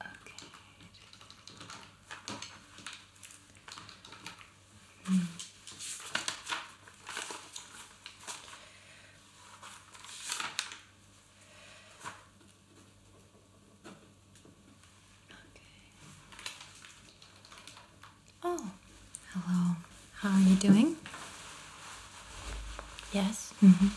Okay. Mm. Okay. Oh, hello. How are you doing? Yes. Mhm.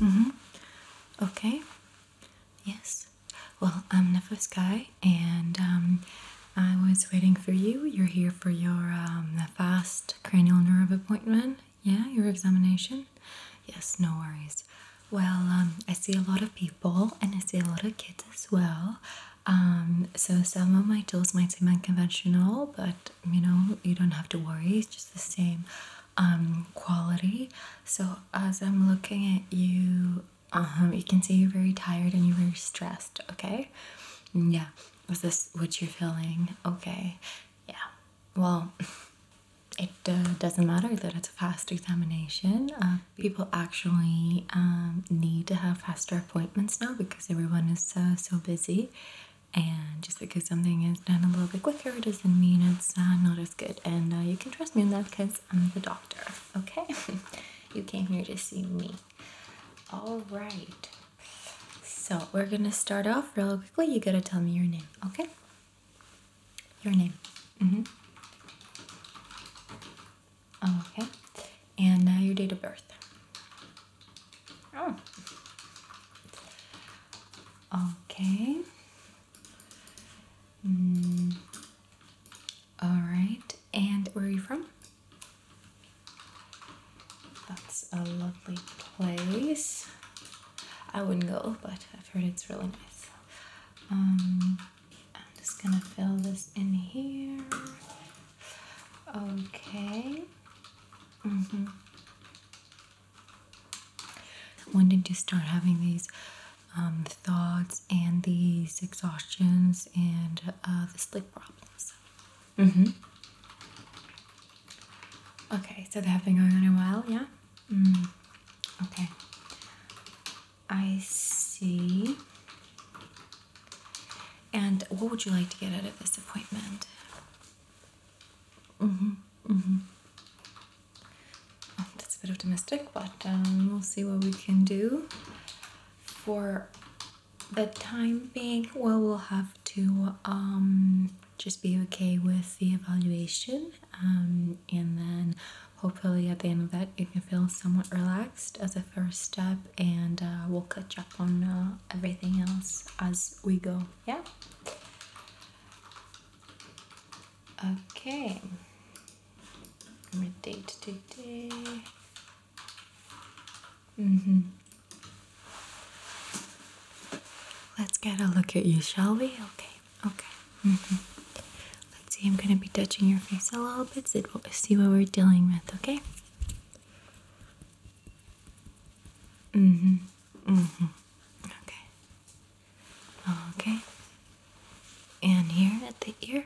Mm mhm. Mm okay. Yes. Well, I'm Nefa Sky, and um, I was waiting for you. You're here for your um, fast cranial nerve appointment. Yeah, your examination. Yes, no worries. Well, um, I see a lot of people, and I see a lot of kids as well. so some of my tools might seem unconventional, but you know you don't have to worry it's just the same um, quality so as i'm looking at you um, you can see you're very tired and you're very stressed okay yeah is this what you're feeling okay yeah well it uh, doesn't matter that it's a fast examination uh, people actually um, need to have faster appointments now because everyone is uh, so busy and just because something is done a little bit quicker doesn't mean it's uh, not as good. And uh, you can trust me on that because I'm the doctor, okay? you came here to see me. All right. So we're gonna start off real quickly. You gotta tell me your name, okay? Your name. Mm-hmm. Okay. And uh, your date of birth. Oh. Okay. Mm. All right. And where are you from? That's a lovely place. I wouldn't go, but I've heard it's really nice. Um, I'm just gonna fill this in here. Okay. Mm -hmm. When did you start having these um, thoughts and these exhaustions and uh, the sleep problems? Mm hmm. Okay, so they have been going on a while, yeah? Mm. Okay. I see. And what would you like to get out of this appointment? Mm-hmm. Mm-hmm. that's a bit optimistic, but um, we'll see what we can do. For the time being, well, we'll have to um, just be okay with the evaluation, um, and then hopefully at the end of that, you can feel somewhat relaxed as a first step, and uh, we'll catch up on uh, everything else as we go. Yeah. Okay. We're date today. Mm-hmm. Let's get a look at you, shall we? Okay, okay. Mm -hmm. Let's see, I'm gonna be touching your face a little bit, see what we're dealing with, okay? Mm-hmm. Mm-hmm. Okay. Okay. And here at the ear.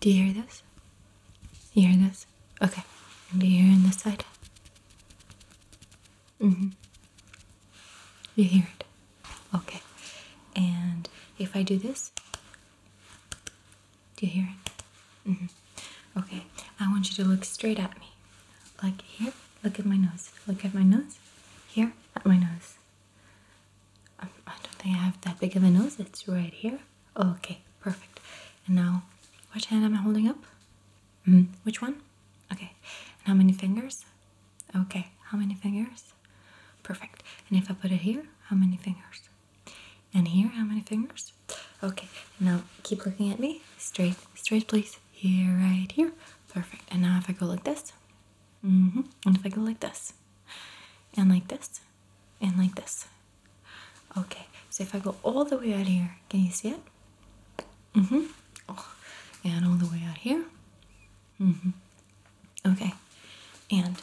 Do you hear this? You hear this? Okay. And do you hear on this side? Mm-hmm. You hear it. Okay. And if I do this, do you hear it? Mm-hmm. Okay, I want you to look straight at me. Like here, look at my nose. Look at my nose. Here, at my nose. Um, I don't think I have that big of a nose. It's right here. Oh, okay, perfect. And now, which hand am I holding up? Mm-hmm. Which one? Okay. And how many fingers? Okay, how many fingers? Perfect. And if I put it here, how many fingers? And here, how many fingers? Okay, now keep looking at me. Straight, straight, please. Here, right here. Perfect. And now if I go like this, mm hmm and if I go like this, and like this, and like this. Okay, so if I go all the way out here, can you see it? Mm-hmm. Oh, and all the way out here. Mm-hmm. Okay, and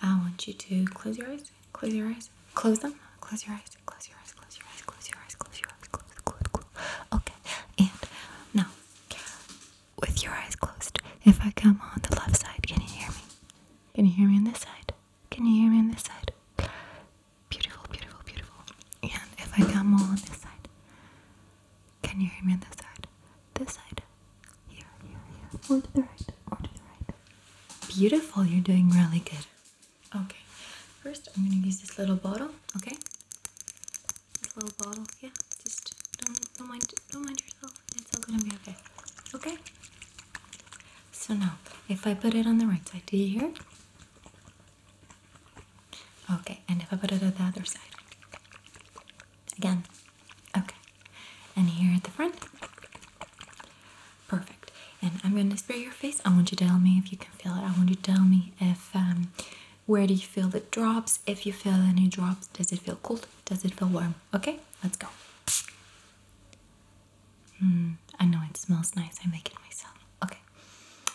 I want you to close your eyes Close your eyes. Close them. Close your eyes. Close your eyes. Close your eyes. Close your eyes. Close your eyes. Close, close, close. Okay. And now, with your eyes closed, if I come on the left side, can you hear me? Can you hear me on this side? Can you hear me on this side? Beautiful, beautiful, beautiful. And if I come on this side, can you hear me on this side? This side. Here, here, here. to the right. to the right. Beautiful. You're doing really good. Okay. First, I'm going to use this little bottle. Okay. This little bottle. Yeah. Just don't, don't mind. Don't mind yourself. It's all gonna be okay. Okay. So now, if I put it on the right side, do you hear? Okay. And if I put it on the other side, again. Okay. And here at the front. Perfect. And I'm going to spray your face. I want you to tell me if you can feel it. I want you to tell me if um, where do you feel the drops? If you feel any drops, does it feel cold? Does it feel warm? Okay, let's go. Mm, I know it smells nice. I make it myself. Okay.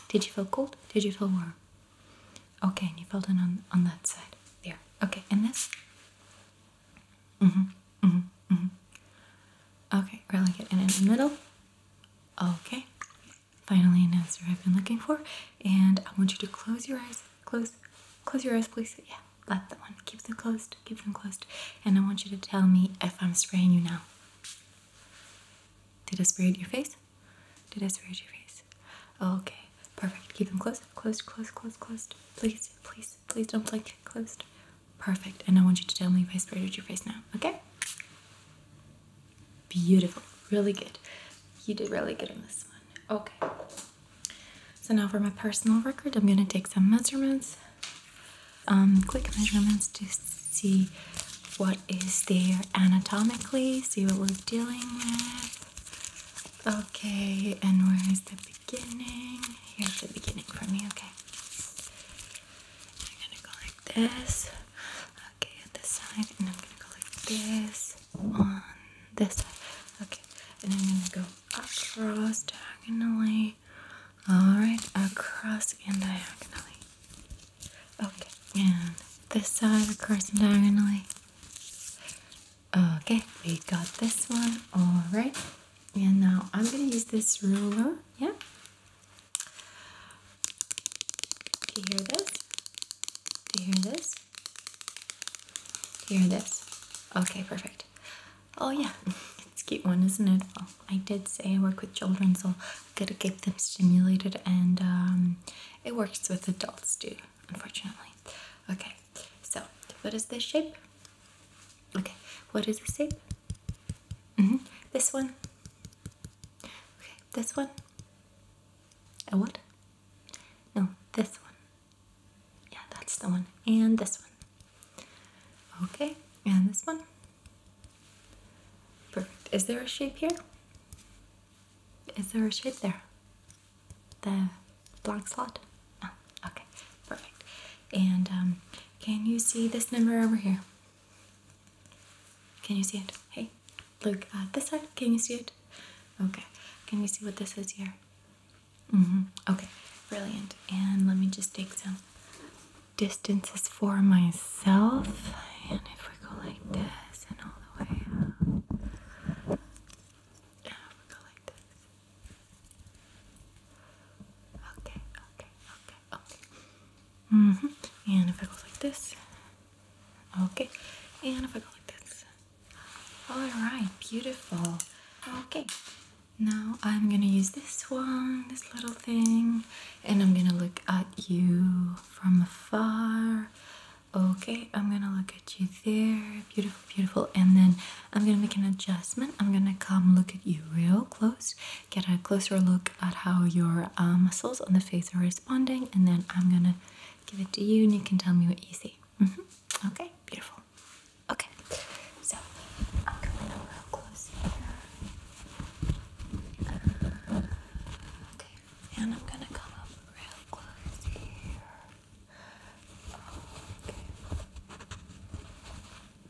Did you feel cold? Did you feel warm? Okay, and you felt it on, on that side. There. Okay, and this? Mm-hmm mm-hmm, mm-hmm. mm-hmm. Okay, really good. And in the middle. Okay. Finally, an answer I've been looking for. And I want you to close your eyes. Close. Close your eyes, please. Yeah, that's the one. Keep them closed. Keep them closed. And I want you to tell me if I'm spraying you now. Did I spray your face? Did I spray your face? Okay, perfect. Keep them closed. Closed, closed, closed, closed. Please, please. Please don't blink closed. Perfect. And I want you to tell me if I sprayed your face now, okay? Beautiful. Really good. You did really good on this one. Okay. So now for my personal record, I'm going to take some measurements. Um, quick measurements to see what is there anatomically, see what we're dealing with. Okay, and where is the beginning? Here's the beginning for me, okay. I'm gonna go like this. Okay, this side, and I'm gonna go like this on this side. Okay, and I'm gonna go across diagonally. Alright, across and diagonally. Okay, and this side across and diagonally. Okay, we got this one. All right. And now I'm going to use this ruler. Yeah. Do you hear this? Do you hear this? Do you hear this? Okay, perfect. Oh, yeah. It's a cute one, isn't it? I did say I work with children, so i got to get them stimulated, and um, it works with adults too unfortunately. Okay, so what is this shape? Okay, what is the shape? Mm-hmm. This one. Okay, this one. A what? No, this one. Yeah, that's the one. And this one. Okay, and this one. Perfect. Is there a shape here? Is there a shape there? the blank slot? Oh, okay, perfect. And um, can you see this number over here? Can you see it? Hey, look at uh, this side. Can you see it? Okay. Can you see what this is here? Mm-hmm. Okay, brilliant. And let me just take some distances for myself. And if we go like this and all the way up. Yeah, we go like this. Okay, okay, okay, okay. hmm And if I go like this. Okay. And if I go like this. Alright, beautiful. Okay. Now I'm gonna use this one, this little thing, and I'm gonna look at you from afar. Okay, I'm gonna look at you there. Beautiful, beautiful. And then I'm gonna make an adjustment. I'm gonna come look at you real close, get a closer look at how your uh, muscles on the face are responding, and then I'm gonna give it to you and you can tell me what you see. Mm-hmm. Okay, beautiful. Okay, so I'm coming a close here. okay, and I'm gonna come up real close here.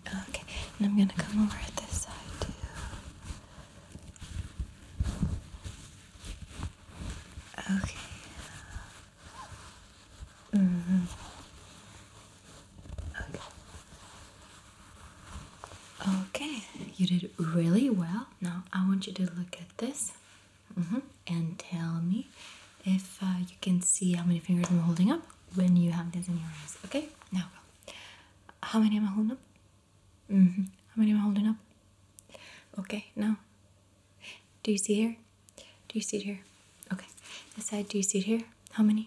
Okay. Okay, and I'm gonna come over at this side too. Okay. Mm hmm Okay. Okay, you did really well. Now I want you to look at this. Mm -hmm. And tell me if uh, you can see how many fingers I'm holding up when you have this in your eyes. Okay? Now go. How many am I holding up? Mm -hmm. How many am I holding up? Okay, now. Do you see here? Do you see it here? Okay. This side, do you see it here? How many?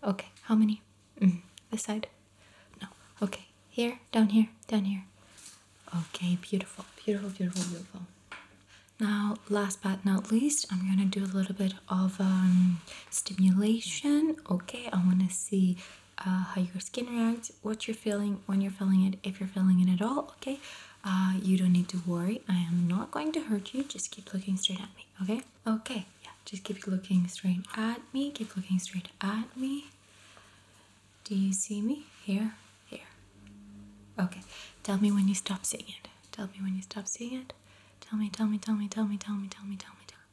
Okay, how many? -hmm. This side? No. Okay. Here, down here, down here. Okay, beautiful, beautiful, beautiful, beautiful. Now, last but not least, I'm gonna do a little bit of um, stimulation. Okay, I wanna see uh, how your skin reacts, what you're feeling, when you're feeling it, if you're feeling it at all. Okay, uh, you don't need to worry. I am not going to hurt you. Just keep looking straight at me. Okay, okay, yeah. Just keep looking straight at me. Keep looking straight at me. Do you see me here? Here. Okay. Tell me when you stop seeing it. Tell me when you stop seeing it. Tell me, tell me, tell me, tell me, tell me, tell me, tell me, tell me.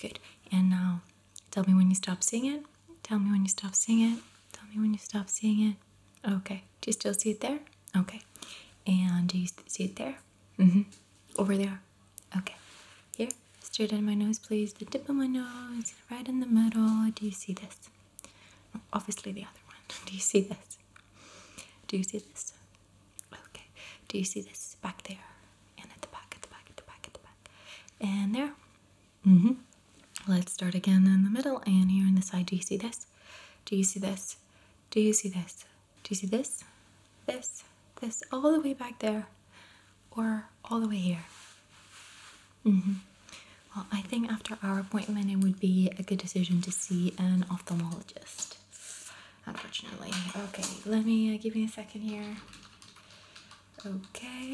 Good. And now, tell me when you stop seeing it. Tell me when you stop seeing it. Tell me when you stop seeing it. Okay. Do you still see it there? Okay. And do you see it there? Mm-hmm. Over there. Okay. Here. Straight in my nose, please. The tip of my nose. Right in the middle. Do you see this? obviously the other one. Do you see this? Do you see this? Okay. Do you see this back there? And at the back, at the back, at the back, at the back. And there. Mm-hmm. Let's start again in the middle and here on the side. Do you see this? Do you see this? Do you see this? Do you see this? This, this, all the way back there, or all the way here. Mm -hmm. Well, I think after our appointment, it would be a good decision to see an ophthalmologist. Unfortunately. Okay, let me uh, give me a second here. Okay.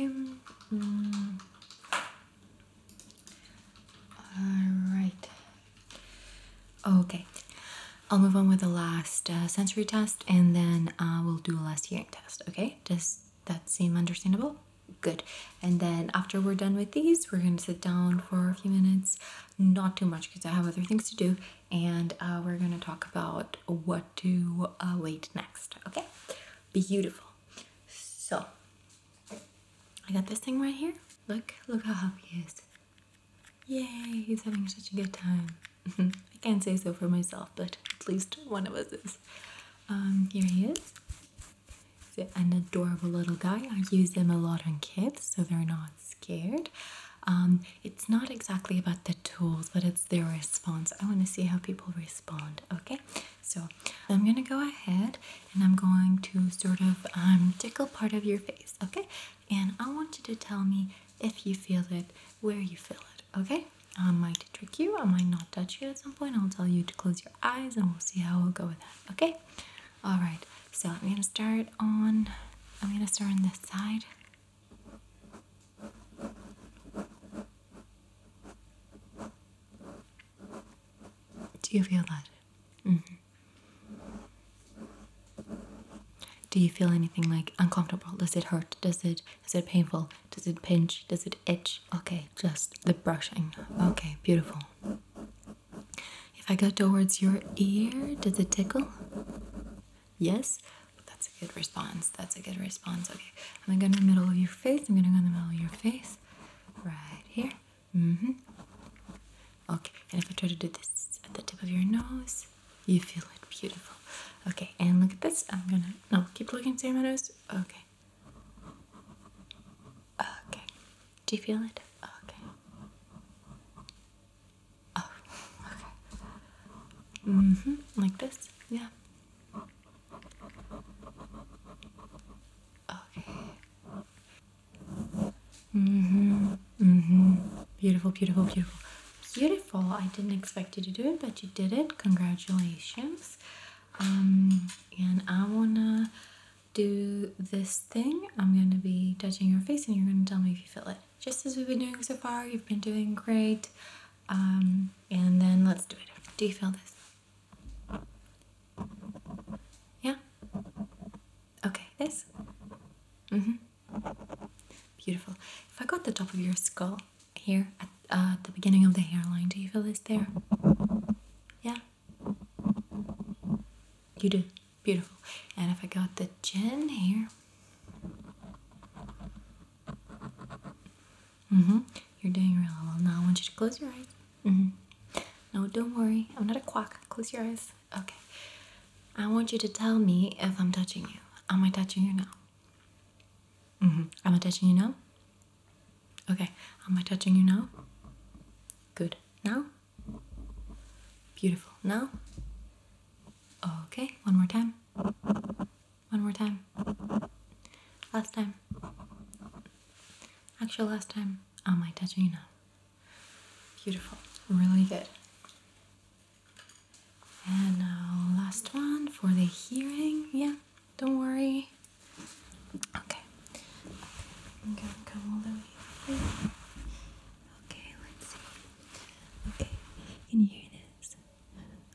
Mm. All right. Okay. I'll move on with the last uh, sensory test and then uh, we'll do a last hearing test. Okay? Does that seem understandable? good and then after we're done with these we're going to sit down for a few minutes not too much because i have other things to do and uh, we're going to talk about what to uh, wait next okay beautiful so i got this thing right here look look how happy he is yay he's having such a good time i can't say so for myself but at least one of us is um, here he is an adorable little guy. I use them a lot on kids so they're not scared. Um, it's not exactly about the tools, but it's their response. I want to see how people respond. Okay, so I'm gonna go ahead and I'm going to sort of um, tickle part of your face. Okay, and I want you to tell me if you feel it, where you feel it. Okay, on um, my trick you. I might not touch you at some point. I'll tell you to close your eyes and we'll see how we'll go with that. Okay? Alright, so I'm gonna start on I'm gonna start on this side. Do you feel that? Mm -hmm. Do you feel anything like uncomfortable? Does it hurt? Does it is it painful? Does it pinch? Does it itch? Okay, just the brushing. Okay, beautiful. If I go towards your ear, does it tickle? Yes? That's a good response. That's a good response. Okay, I'm gonna go in the middle of your face. I'm gonna go in the middle of your face. Right here. Mm-hmm. Okay, and if I try to do this at the tip of your nose, you feel it beautiful. Okay, and look at this. I'm gonna no keep looking through my nose. Okay, Okay. Do you feel it? Okay. Oh, okay. Mm-hmm. Like this? Yeah. Okay. Mm-hmm. Mm-hmm. Beautiful, beautiful, beautiful. Beautiful. I didn't expect you to do it, but you did it. Congratulations. Um, and I wanna do this thing. I'm gonna be touching your face, and you're gonna tell me if you feel it. Just as we've been doing so far, you've been doing great. Um, and then let's do it. Do you feel this? Yeah. Okay. This. Mm-hmm. Beautiful. If I got the top of your skull here at uh, the beginning of the hairline. Do you feel this there? Yeah. You do. Beautiful. And if I got the chin here. Mm-hmm. You're doing really well. Now I want you to close your eyes. Mm-hmm. No, don't worry. I'm not a quack. Close your eyes. Okay. I want you to tell me if I'm touching you. Am I touching you now? Mm-hmm. Am I touching you now? Okay, am I touching you now? Good. Now? Beautiful. Now? Okay, one more time. One more time. Last time. Actual last time. Am I touching you now? Beautiful. Really good. And now, last one for the hearing. Yeah. Don't worry. Okay. i Okay, let's see. Okay, can you hear this?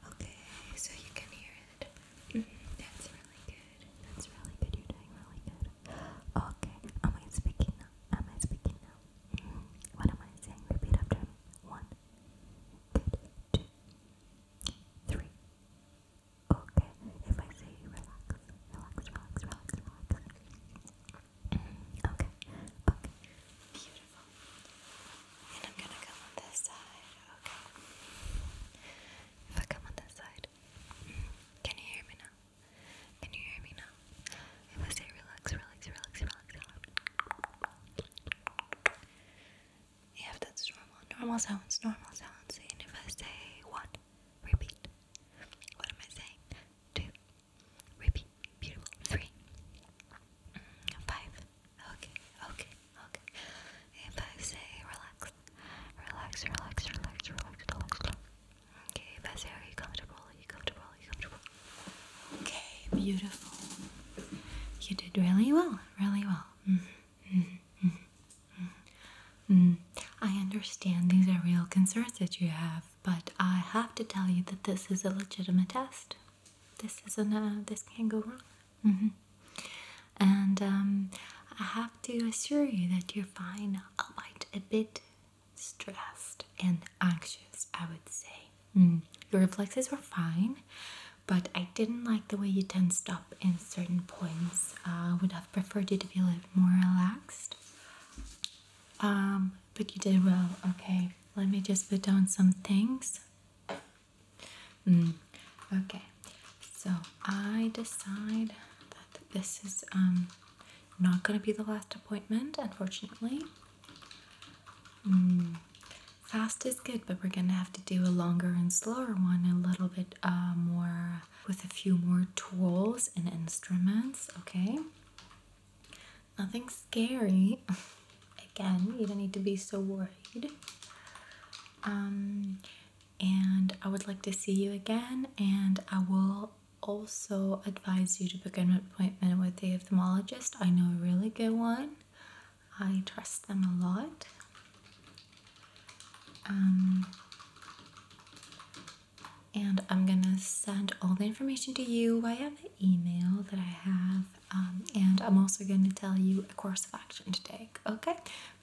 Okay, so you can hear it. Mm-hmm. That's really good. That's really good. You're doing really good. Okay, am I speaking Am I speaking now? Mm-hmm. What am I saying? Repeat after me. One, good, two, three, Okay, if I say relax, relax, relax, relax, Okay, okay. Beautiful. And I'm gonna come on this side, okay? If I come on this side, can you hear me now? Can you hear me now? If I say relax, relax, relax, relax if that's normal, normal sounds, normal sounds. And if I say one, repeat. What am I saying? Two, repeat. Beautiful. Three, mm, five. Okay, okay, okay. If I say relax, relax, relax, relax, relax, relax. Okay, if I say are you comfortable? comfortable? comfortable? Okay, beautiful. You did really well, really well. Mm-hmm. I understand these are real concerns that you have, but I have to tell you that this is a legitimate test. This isn't a, this can't go wrong. And I have to assure you that you're fine, albeit a bit stressed and anxious, I would say. Your reflexes were fine. But I didn't like the way you tensed up in certain points. I uh, would have preferred you to be a little more relaxed. Um, but you did well. Okay, let me just put down some things. Mm. Okay, so I decide that this is um, not going to be the last appointment, unfortunately. Mm. Fast is good, but we're gonna have to do a longer and slower one, a little bit uh, more with a few more tools and instruments, okay? Nothing scary. Again, you don't need to be so worried. Um, and I would like to see you again, and I will also advise you to book an appointment with the ophthalmologist. I know a really good one. I trust them a lot. Um, and I'm gonna send all the information to you via the email that I have. Um, and I'm also gonna tell you a course of action to take, okay?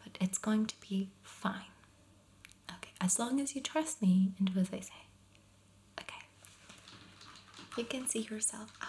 But it's going to be fine. Okay, as long as you trust me and do as I say. Okay. You can see yourself out.